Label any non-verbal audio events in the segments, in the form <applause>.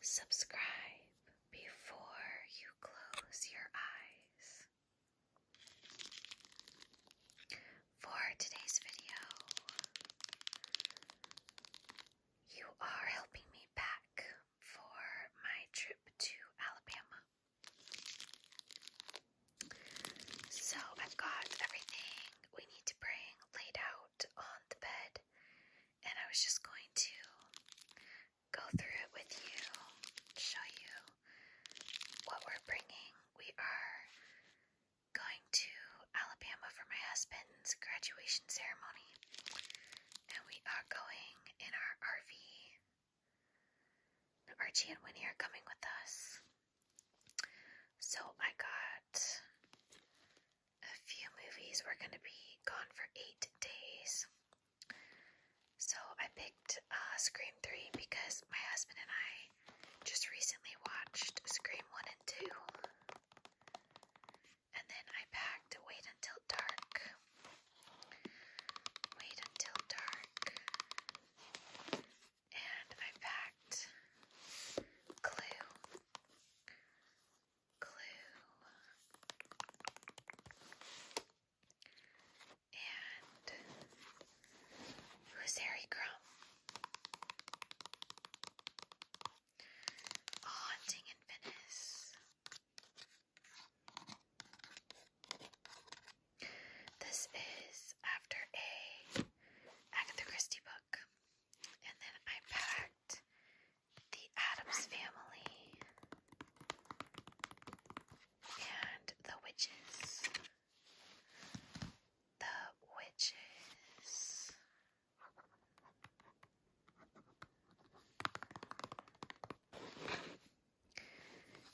Subscribe before you close your eyes. For today's video, you are helping me pack for my trip to Alabama. So I've got everything we need to bring laid out on the bed, and I was just going to go through it with you, show you what we're bringing. We are going to Alabama for my husband's graduation ceremony, and we are going in our RV. Archie and Winnie are coming with us. So I got a few movies were going to be gone for eight days. So I picked uh, Scream 3 because my husband and I just recently watched Scream 1 and 2. And then I packed Wait Until Dark. Wait Until Dark. And I packed Clue. Clue and Harry Crumb? A haunting in Venice. This is after a Agatha Christie book. And then I packed the Adams Family and the Witches. The Witches.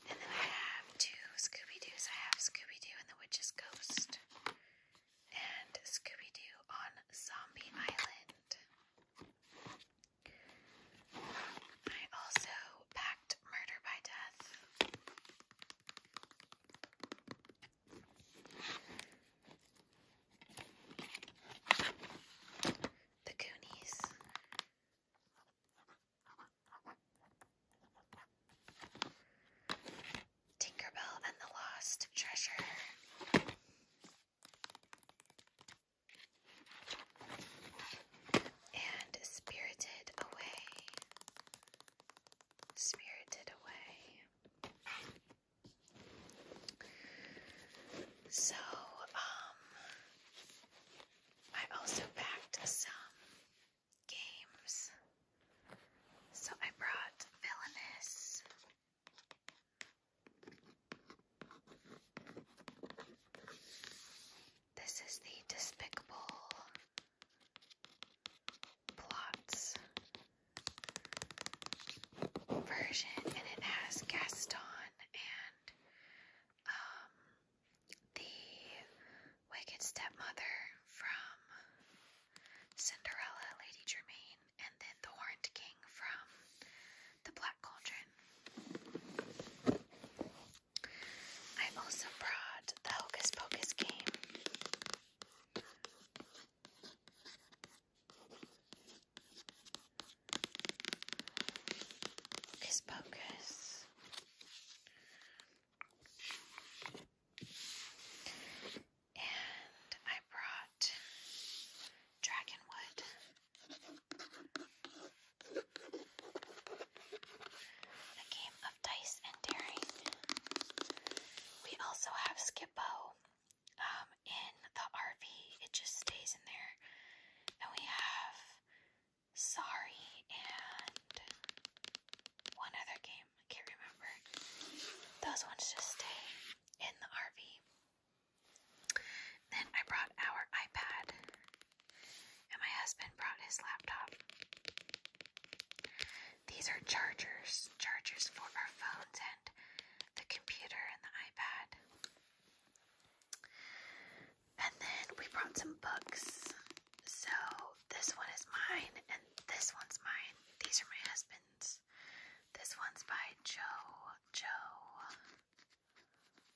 And then I have two Scooby Doo's. I have Scooby Doo and the Witch's Ghost and Scooby Doo on Zombie Island. I also packed Murder by Death. The Goonies. Tinkerbell and the Lost Treasure. And Spirited Away. Spirited Away. So, um, I also backed some games so I brought Villainous. This is the Despicable Plots version, and it has Gaston and um, the Wicked Stepmother from Cinderella, Lady Germain and then the Horned King from the Black Cauldron. I also brought the Hocus Pocus game. Hocus Pocus and I brought dragonwood. A game of dice and daring. We also have Skippo um, in the RV. It just stays in there. And we have Sorry and one other game. I can't remember. Those ones just stay in the RV. Then I brought our iPad, and my husband brought his laptop. These are chargers, chargers for our phones and the computer and the iPad. And then we brought some books. So this one is mine, and this one's mine. These are my husband's this. one's by Joe Joe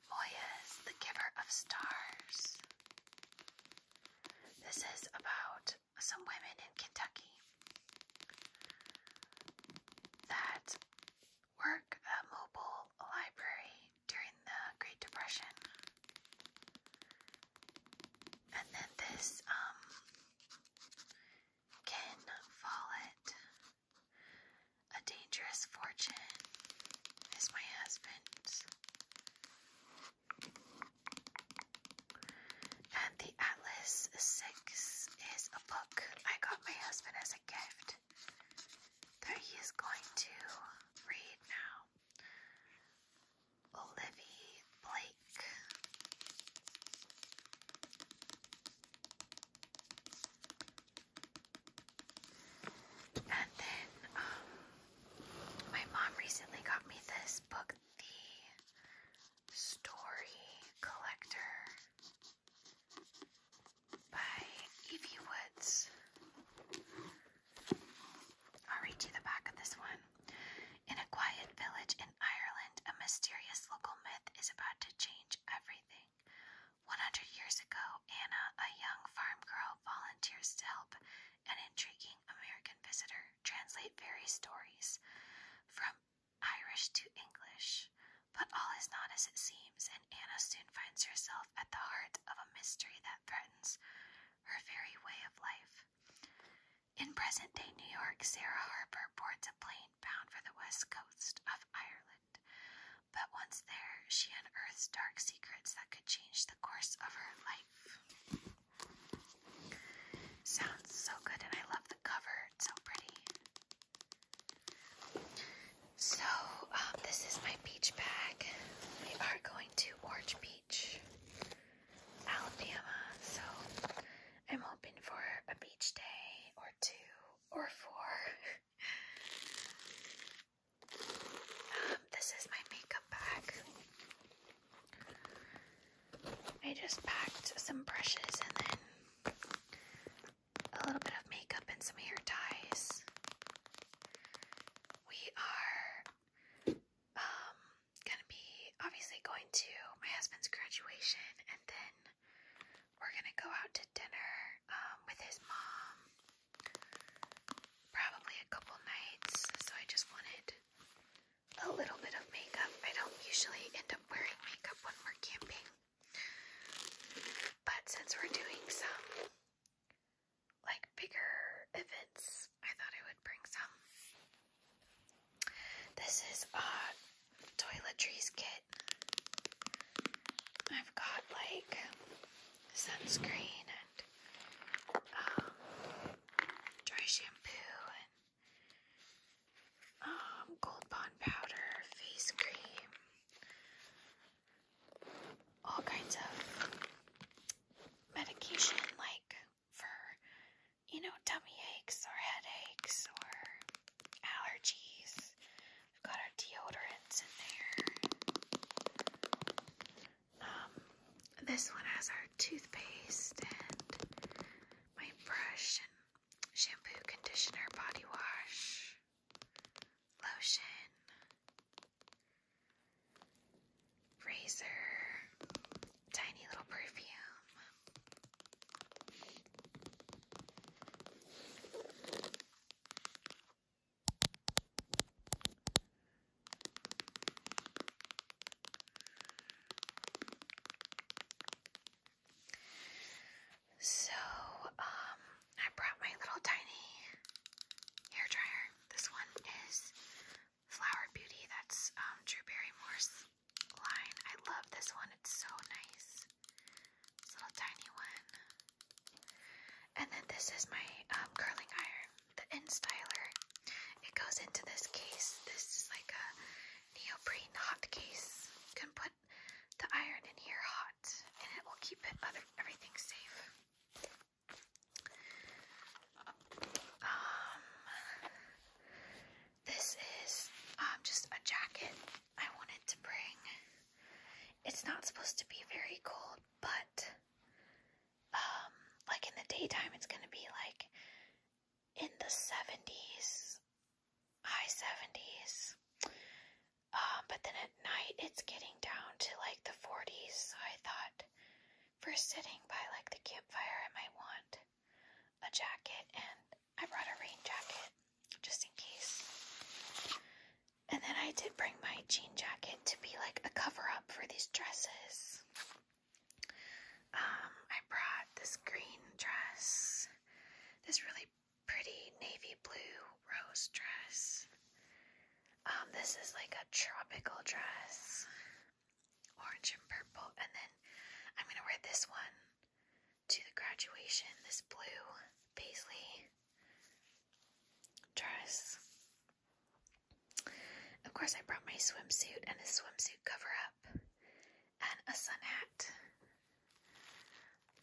Moyes, the giver of stars. This is about some women in Kentucky that work at mobile library during the Great Depression. And then this um can fall it. A dangerous fortune is my husband's. And the Atlas 6 is a book I got my husband as a gift that he is going to read now. Olivia Blake. And then um, my mom recently got me this book, The Story Collector by Evie Woods. I'll read you the back of this one. In a quiet village in in Ireland, a mysterious local myth is about to change everything. 100 years ago, Anna, a young farm girl, volunteers to help an intriguing American visitor translate fairy stories from Irish to English. But all is not as it seems, and Anna soon finds herself at the heart of a mystery that threatens her very way of life. In present day New York, Sarah Harper boards a plane bound for the west coast of Ireland. But once there, she unearths dark secrets that could change the course of her life. Sounds so good, and I love the cover. so pretty. So, um, this is my beach bag. We are going to Orange Beach. Alabama, so I'm hoping for a beach day or two or four. um, this is my makeup bag. I just packed some brushes and then a little bit of makeup and some hair ties. We are um, gonna be obviously going to my husband's graduation, and then we're gonna go out to dinner um, with his mom, probably a couple nights. So I just wanted a little bit of makeup. I don't usually end up wearing makeup when we're camping, but since we're doing some like bigger events, I thought I would bring some. This is a toiletries kit. I've got like sunscreen and um, dry shampoo and gold um, bond powder, face cream, all kinds of medication like for, you know, tummy aches or headaches or allergies. We've got our deodorants in there. Um, this one has our toothpaste and my brush and shampoo, conditioner, body wash, lotion, razor, tiny little perfume. So, um, I brought my little tiny hair dryer. This one is Flower Beauty. That's um, Drew Barrymore's line. I love this one, it's so nice. This little tiny one. And then this is my um, curling iron, the instyler. It goes into this case. This is like a neoprene hot case. You can put the iron in here hot and it will keep it other everything safe. Um, this is um, just a jacket I wanted to bring. It's not supposed to be very cold, but um, like in the daytime, it's going to be like in the 70s, high 70s. Um, but then at night, it's getting down to like the 40s. So I thought for sitting by like the campfire, I might want a jacket, and I brought a rain jacket just in case. And then I did bring my jean jacket to be like a cover up for these dresses. Um, I brought this green dress, this really pretty navy blue rose dress. Um, this is like a tropical dress orange and purple, and then I'm gonna wear this one to the graduation, this blue paisley dress. Of course, I brought my swimsuit and a swimsuit cover up and a sun hat.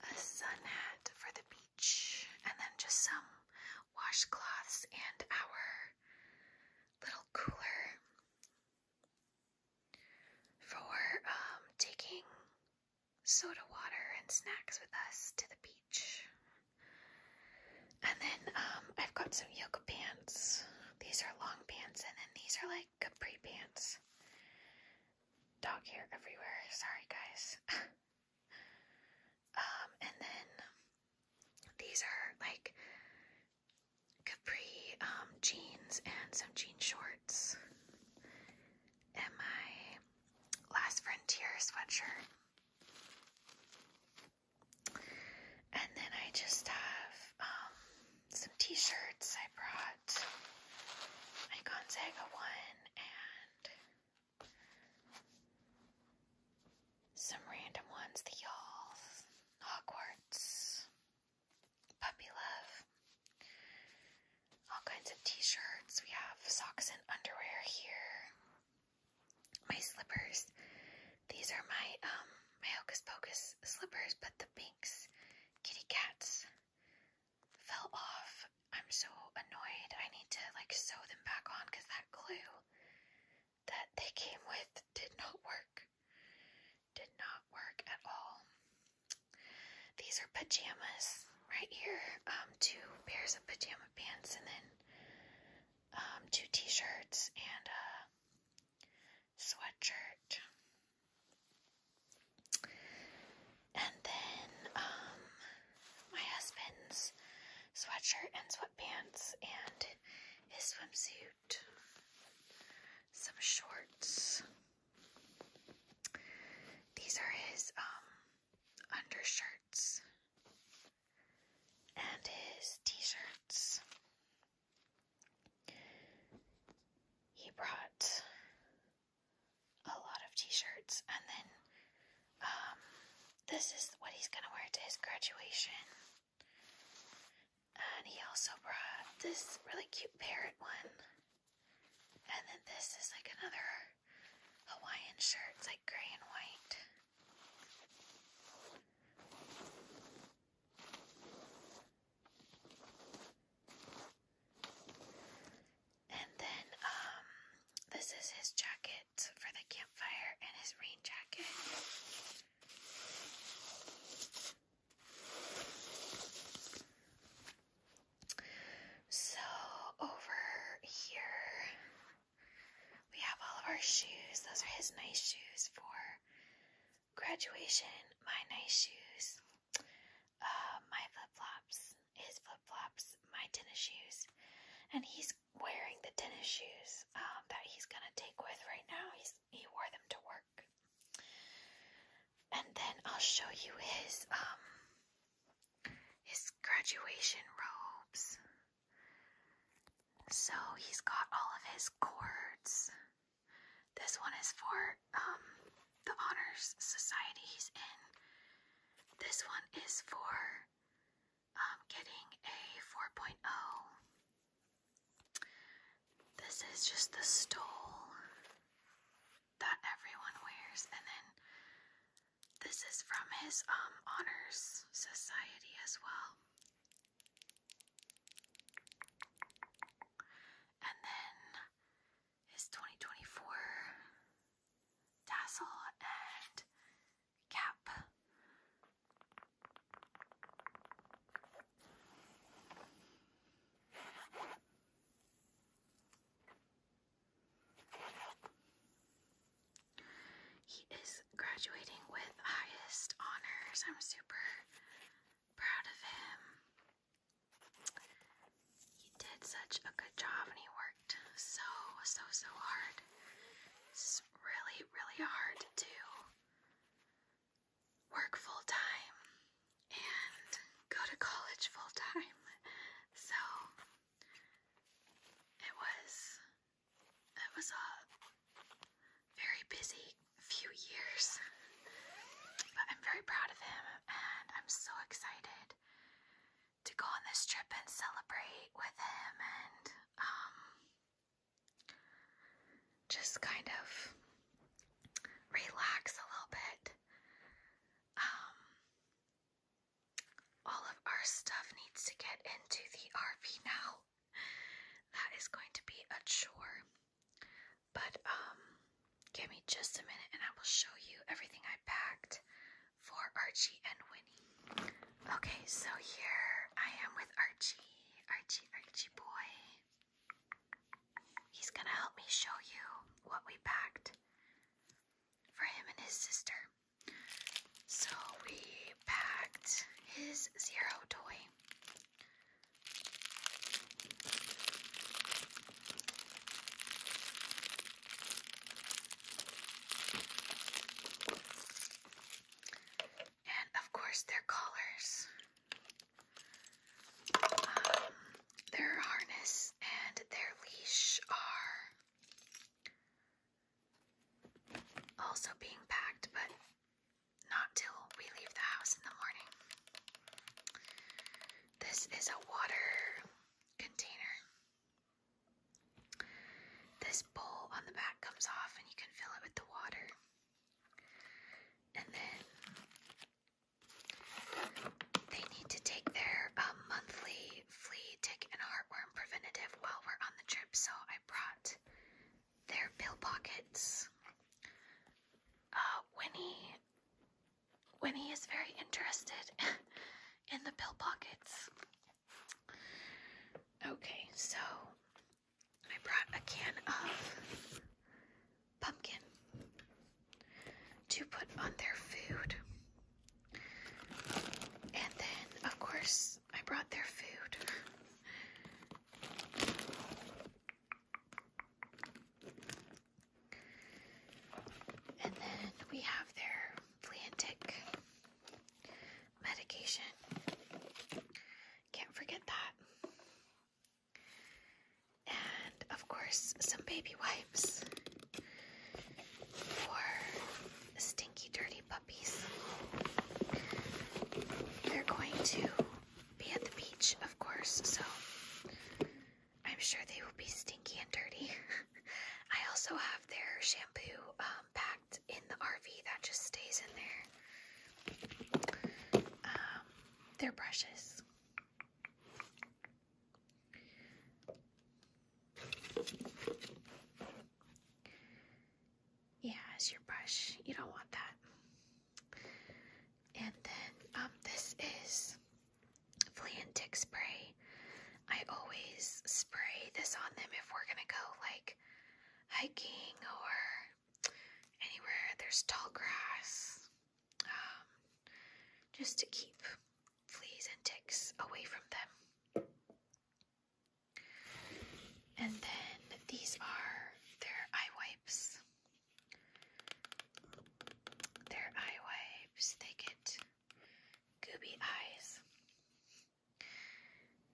A sun hat for the beach, and then just some washcloths and our little cooler for um, taking soda water and snacks with us to the beach. And then um, I've got some yoga pants. These are long pants, and then these are like capri pants. Dog hair everywhere. Sorry, guys. <laughs> um, and then these are like capri um, jeans and some jean shorts, and my Last Frontier sweatshirt. And then I just have um, some t shirts. I brought my Gonzaga one and some random ones the Y'all, Hogwarts, puppy love, all kinds of t-shirts. We have socks and underwear here. My slippers. These are my um my Hocus Pocus slippers, but the pinks kitty cats fell off. I'm so annoyed. I need to like sew them back on because that glue that they came with did not work. Did not work at all. These are pajamas right here. Um, two pairs of pajama pants and then um, two t-shirts and a sweatshirt. And then um, my husband's sweatshirt and sweatpants and his swimsuit some shorts. These are his um, undershirts and his t-shirts. He brought a lot of t-shirts and then um, this is what he's going to wear to his graduation. And he also brought this really cute parrot one. And then this is like another Hawaiian shirt. It's like gray and white. And then um this is his jacket for the campfire and his rain jacket. So over here we have all of our shoes. Those are his nice shoes for graduation. My nice shoes, uh, my flip flops, his flip flops, my tennis shoes, and he's wearing the tennis shoes um, that he's gonna take with right now. He's he wore them to work. And then I'll show you his um his graduation robes. So he's got all of his cords. This one is for um the honors societies, he's in. This one is for um, getting a 4.0. This is just the stole that everyone wears, and then this is from his um, honors society as well. And then his 2024 tassel and cap. He is graduating with highest honors. I'm super proud of him. He did such a good job and he worked so, so, so hard. It's really, really hard to work full time and go to college full time. So it was it was a very busy few years. But I'm very proud of him and I'm so excited to go on this trip and celebrate with him and um just kind of relax a little bit. Um, all of our stuff needs to get into the RV now. That is going to be a chore. But um, give me just a minute and I will show you everything I packed for Archie and Winnie. Okay, so here I am with Archie. Archie, Archie boy. He's gonna help me show you what we packed for him and his sister. So we packed his zero toy. And of course, their collars. Um, their harness and their leash are also being packed, but not till we leave the house in the morning. This is a water container. This bowl on the back comes off, and you can fill it with the water. And then they need to take their um, monthly flea, tick, and heartworm preventative while we're on the trip, so I brought their pill pockets. Uh, Winnie, Winnie is very interested <laughs> in the pill pockets. Okay, so I brought a can of pumpkin to put on their food. And then, of course, I brought their food. And then we have their Fleantic medication. Can't forget that. And of course, some baby wipes for stinky, dirty puppies. They're going to be at the beach, of course, so I'm sure they will be stinky and dirty. <laughs> I also have their shampoo um, packed in the RV that just stays in there. Um, their brushes. Yeah, as your brush. You don't want that. And then um this is flea tick spray. I always spray this on them if we're gonna go like hiking or anywhere there's tall grass. Um, just to keep fleas and ticks away from them. And then these are their eye wipes. Their eye wipes, they get goopy eyes.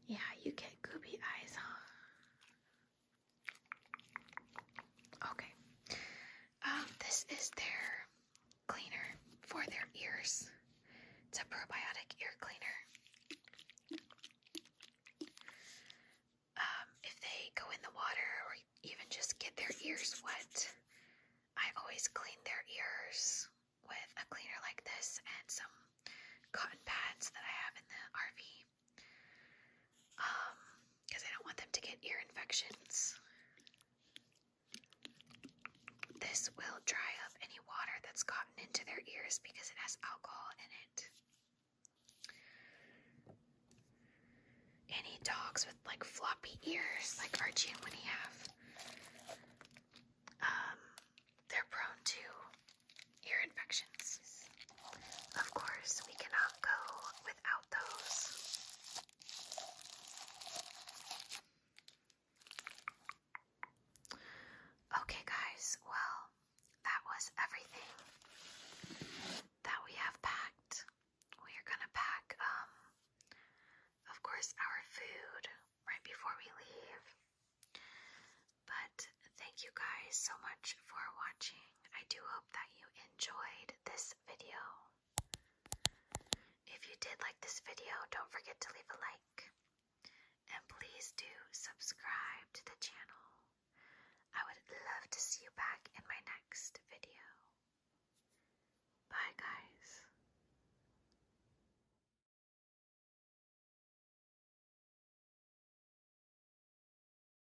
Yeah, you get goopy eyes, huh? Okay. Um, this is their cleaner for their ears. It's a probiotic ear cleaner. Um, if they go in the water or even just get their ears wet, I always clean their ears with a cleaner like this and some cotton pads that I have in the RV. Um, because I don't want them to get ear infections. This will dry up any water that's gotten into their ears because it has alcohol in it. Any dogs with like floppy ears, like Archie and Winnie have, um, they're prone to ear infections. Of course, we cannot go without those. Okay, guys, well, that was everything that we have packed. We are gonna pack, um, of course, our food right before we leave. But thank you guys so much for watching. I do hope that you enjoyed this video. If you did like this video, don't forget to leave a like. And please do subscribe to the channel. I would love to see you back in my next video. Bye, guys.